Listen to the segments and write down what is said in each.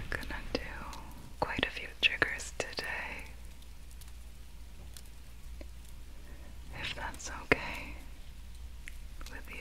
We're gonna do quite a few triggers today. If that's okay with you.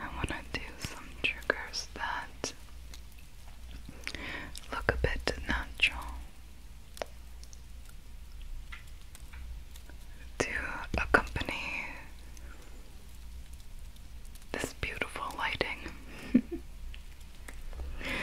I want to do some triggers that look a bit natural. To accompany this beautiful lighting.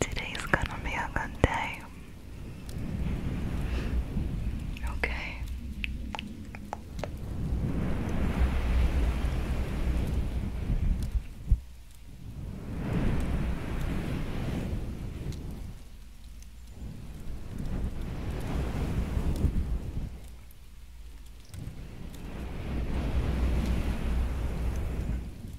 Today's gonna be a good day. Okay.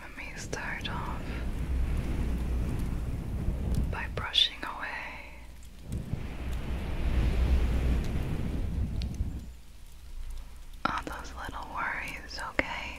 Let me start off by brushing away all oh, those little worries, okay?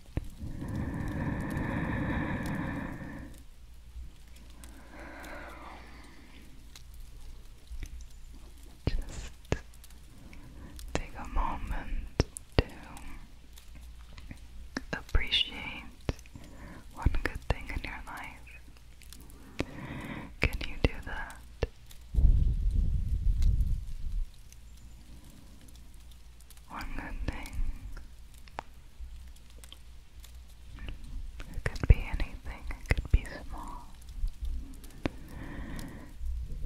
Just take a moment to appreciate one good thing in your life. Can you do that? one good thing. It could be anything, it could be small.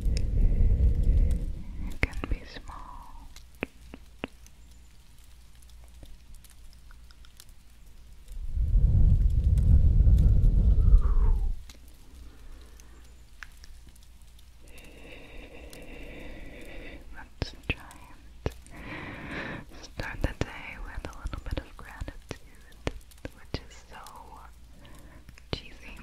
It can be small. Let's try and start the day with a little bit of gratitude, which is so cheesy.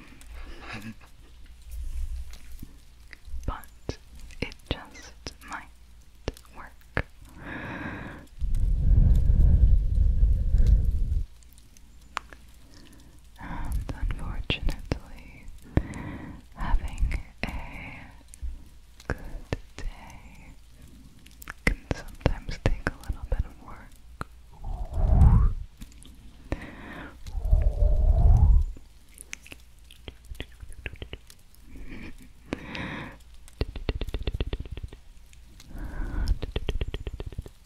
but it just might work and unfortunately having a good day can sometimes take a little bit of work.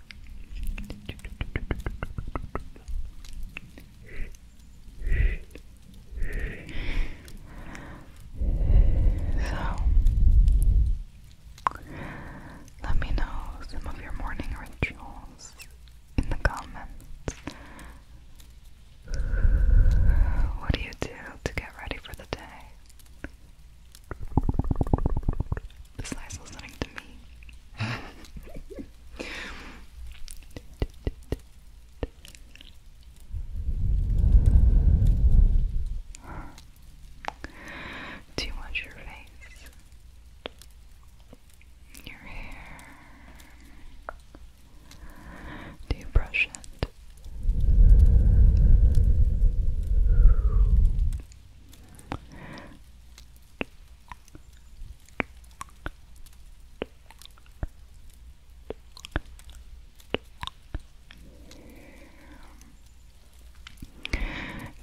So, let me know some of your morning rituals in the comments. What do you do to get ready for the day? This guy's listening to me. Too much your face, your hair. Do you brush it?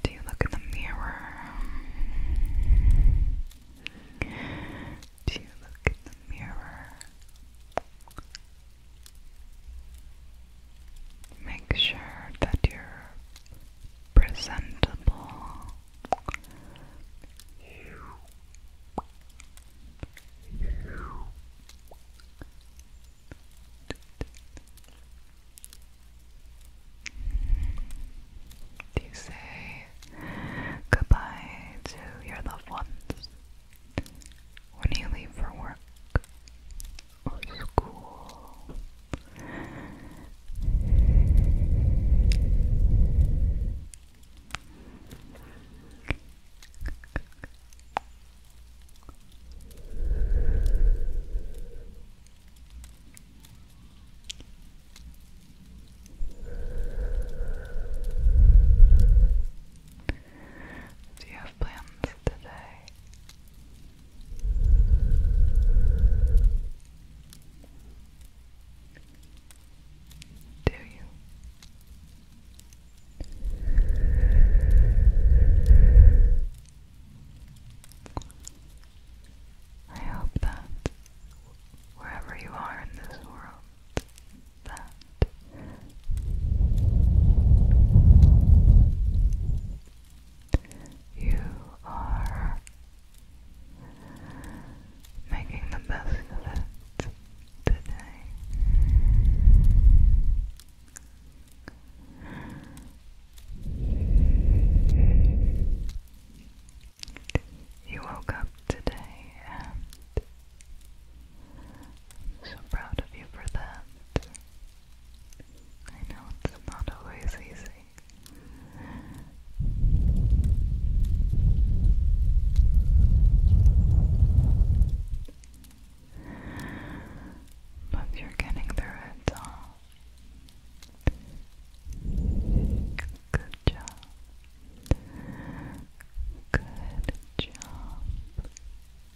Do you look in the mirror? Do you look in the mirror? Make sure that you're presentable. Do you say goodbye to your loved ones when you leave for work? or school. Do you have plans today? Do you? I hope that wherever you are in this world, that you are making the best of it today. You woke up today and so proud of you for that. I know it's not always easy. But you're getting through it all. Good job. Good job.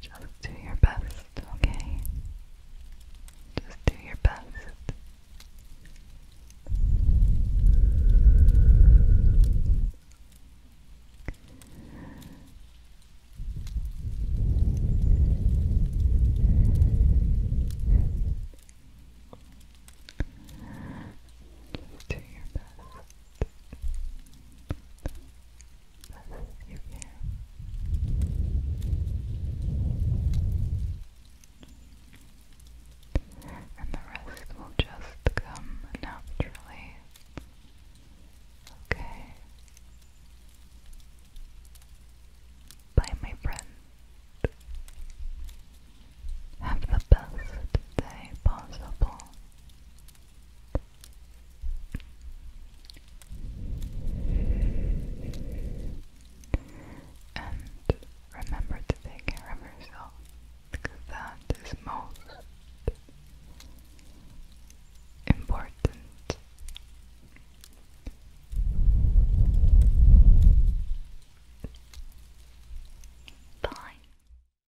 Just do your best, okay? Just do your best. Just do your best your hair. And the rest will just come naturally. Okay. Bye, my friend. Have the best day possible. And remember to take care of yourself because that is most important. Bye.